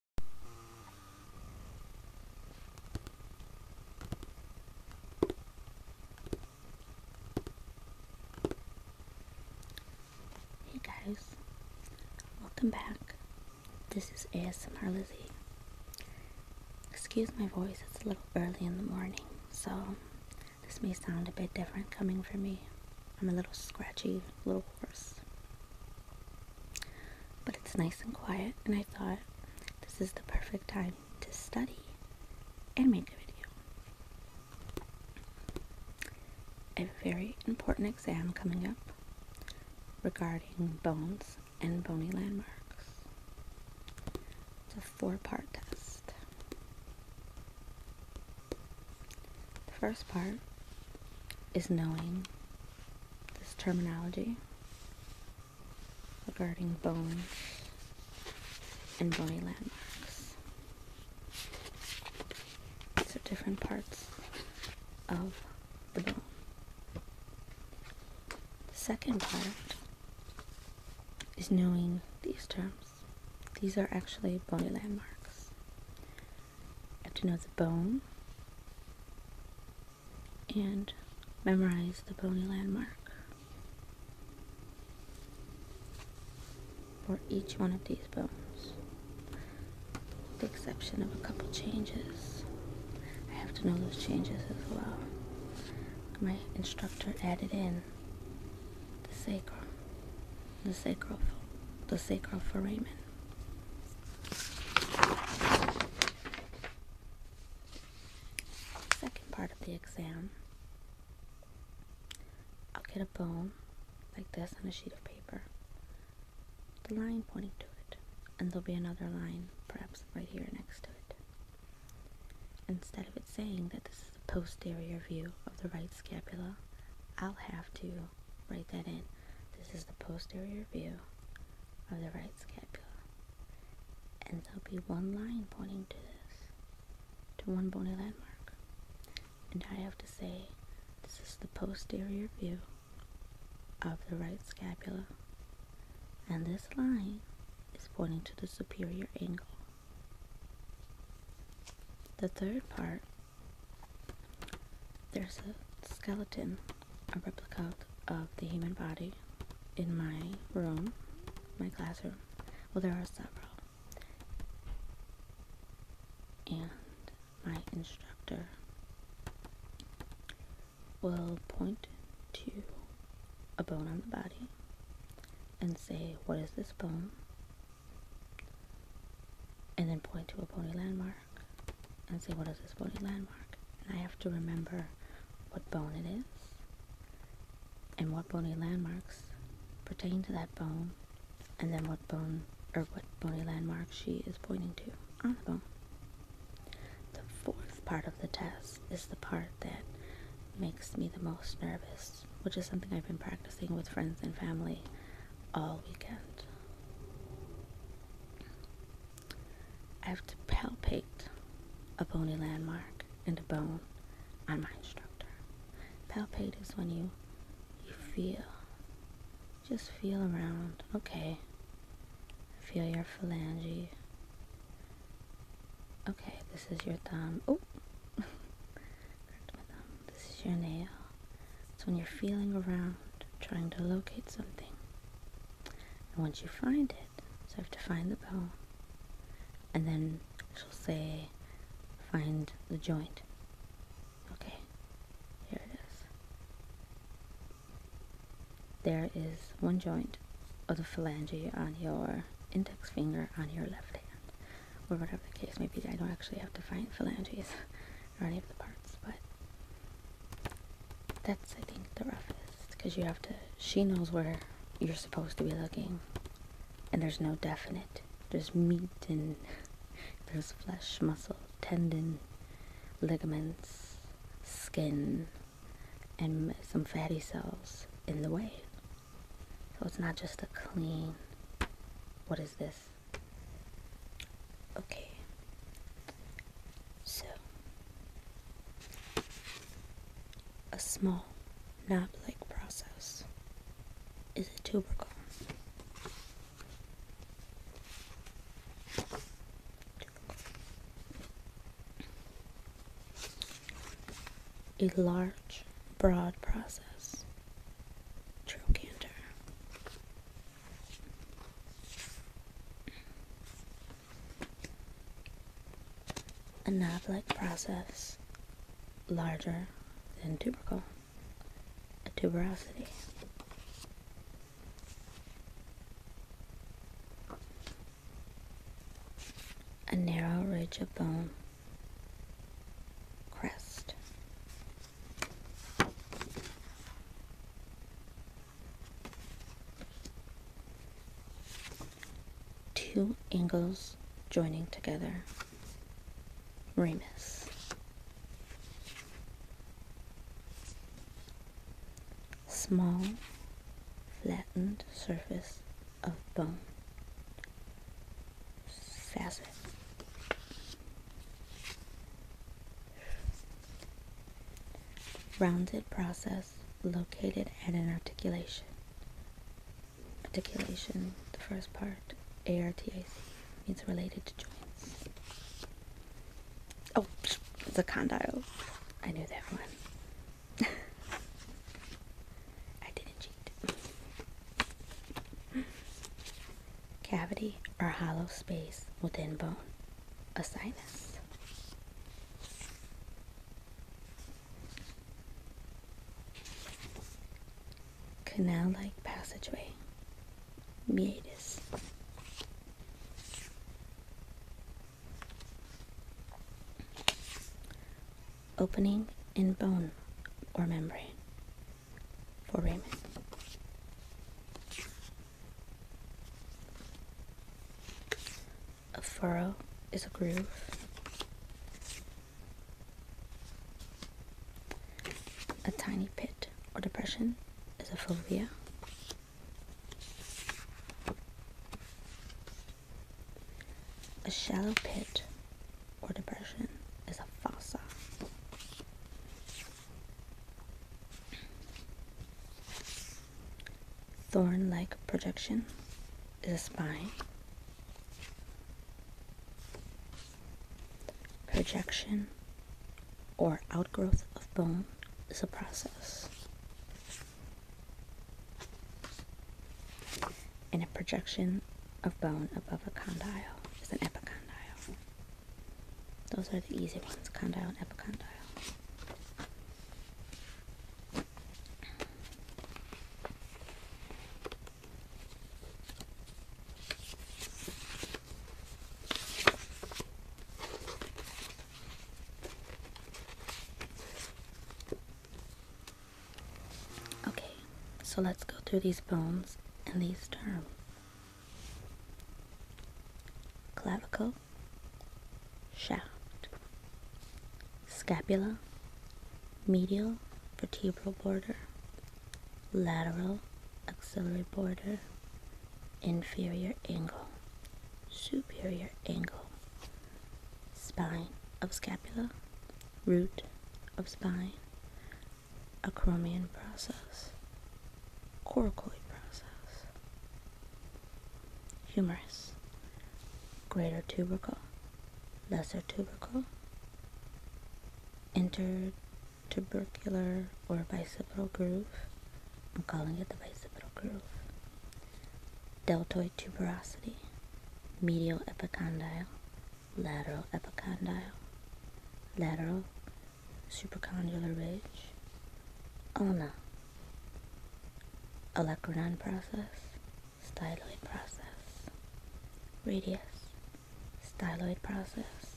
Hey guys, welcome back. This is ASMR Lizzie. Excuse my voice, it's a little early in the morning, so this may sound a bit different coming from me. I'm a little scratchy, a little hoarse. But it's nice and quiet, and I thought this is the perfect time to study and make a video. a very important exam coming up regarding bones and bony landmarks. It's a four part test. The first part is knowing this terminology regarding bones and bony landmarks. These are different parts of the bone. The second part is knowing these terms. These are actually bony landmarks. You have to know the bone and memorize the bony landmark. for each one of these bones, With the exception of a couple changes. I have to know those changes as well. My instructor added in the sacrum, the sacral, the sacral foramen. Second part of the exam, I'll get a bone like this on a sheet of paper, the line pointing to it, and there'll be another line perhaps right here next to it. Instead of it saying that this is the posterior view of the right scapula, I'll have to write that in. This is the posterior view of the right scapula. And there'll be one line pointing to this, to one bony landmark. And I have to say, this is the posterior view of the right scapula. And this line is pointing to the superior angle. The third part there's a skeleton, a replica of the human body in my room, my classroom. Well, there are several. And my instructor will point to a bone on the body and say, What is this bone? and then point to a pony landmark and say, What is this pony landmark? And I have to remember what bone it is and what bony landmarks pertain to that bone and then what bone or what bony landmark she is pointing to on the bone. The fourth part of the test is the part that makes me the most nervous which is something I've been practicing with friends and family all weekend. I have to palpate a bony landmark and a bone on my instructor. Palpate is when you you feel. Just feel around. Okay. Feel your phalange. Okay, this is your thumb. Oh this is your nail. So when you're feeling around, trying to locate something. And once you find it, so I have to find the bone. And then she'll say, find the joint. Okay, here it is. There is one joint of the phalange on your index finger on your left hand or whatever the case may be. I don't actually have to find phalanges or any of the parts, but that's, I think, the roughest, because you have to, she knows where you're supposed to be looking, and there's no definite. There's meat and there's flesh, muscle, tendon, ligaments, skin, and some fatty cells in the way. So it's not just a clean, what is this? Okay. So, a small, knob-like process is a tubercle. tubercle a large, broad process. True A knob like process larger than tubercle, a tuberosity a narrow ridge of bone crest. Two angles joining together. Remus. Small flattened surface of bone facet. Rounded process located at an articulation. Articulation, the first part, ARTAC, means related to joints. Oh, it's a condyle. I knew that one. Cavity or hollow space within bone. A sinus. Canal-like passageway. Meatus. Opening in bone or membrane for Raymond. A furrow is a groove. A tiny pit or depression is a fovea. A shallow pit or depression is a fossa. Thorn like projection is a spine. Projection or outgrowth of bone is a process. And a projection of bone above a condyle is an epicondyle. Those are the easy ones, condyle and epicondyle. Okay, so let's go through these bones and these terms. Clavicle, shaft, scapula, medial vertebral border, lateral axillary border, inferior angle, superior angle, spine of scapula, root of spine, acromion process, coracoid process, humerus, greater tubercle, lesser tubercle, intertubercular or bicipital groove, I'm calling it the bicipital groove. Deltoid tuberosity, medial epicondyle, lateral epicondyle, lateral supracondylar ridge, ulna, olecranon process, styloid process, radius, styloid process,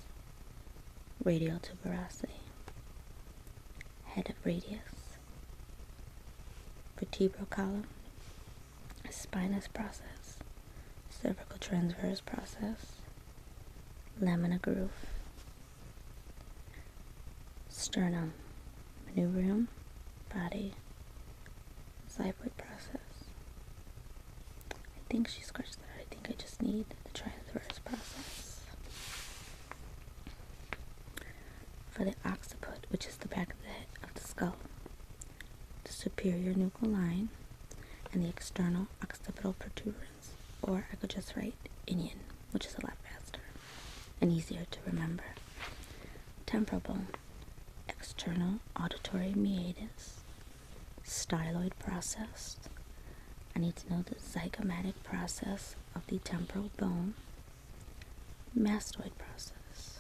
radial tuberosity, head of radius, vertebral column, spinous process, cervical transverse process, lamina groove, sternum, manubrium, body, xiphoid process. I think she scratched that think I just need to try the transverse process. For the occiput, which is the back of the of the skull, the superior nuchal line, and the external occipital protuberance, or I could just write inion, which is a lot faster and easier to remember. Temporal bone, external auditory meatus, styloid process. I need to know the zygomatic process of the temporal bone, mastoid process,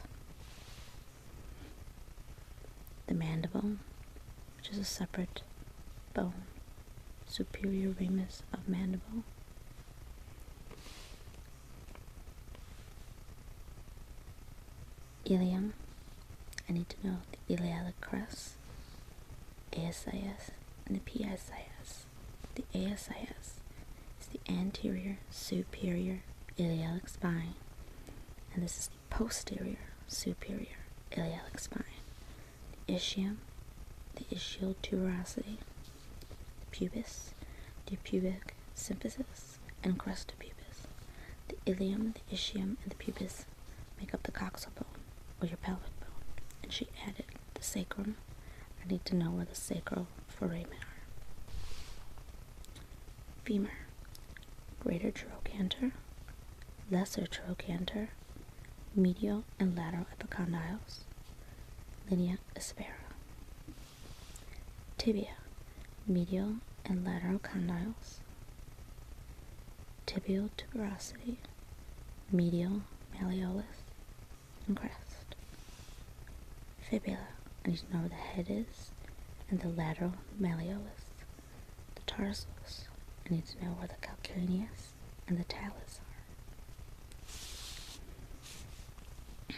the mandible, which is a separate bone, superior ramus of mandible. Ilium, I need to know the iliac crest. The ASIS, and the PSIS. The ASIS is the anterior superior iliac spine, and this is the posterior superior iliac spine. The ischium, the ischial tuberosity, pubis, the pubic symphysis, and crest of pubis. The ilium, the ischium, and the pubis make up the coxal bone, or your pelvic bone. And she added, the sacrum. I need to know where the sacral foramina are. Femur, greater trochanter, lesser trochanter, medial and lateral epicondyles, linea aspera. Tibia, medial and lateral condyles, tibial tuberosity, medial malleolus, and crest. Fibula, I need to know where the head is, and the lateral malleolus. The tarsals, I need to know where the calcaneus and the talus are.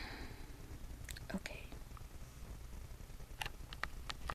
Okay.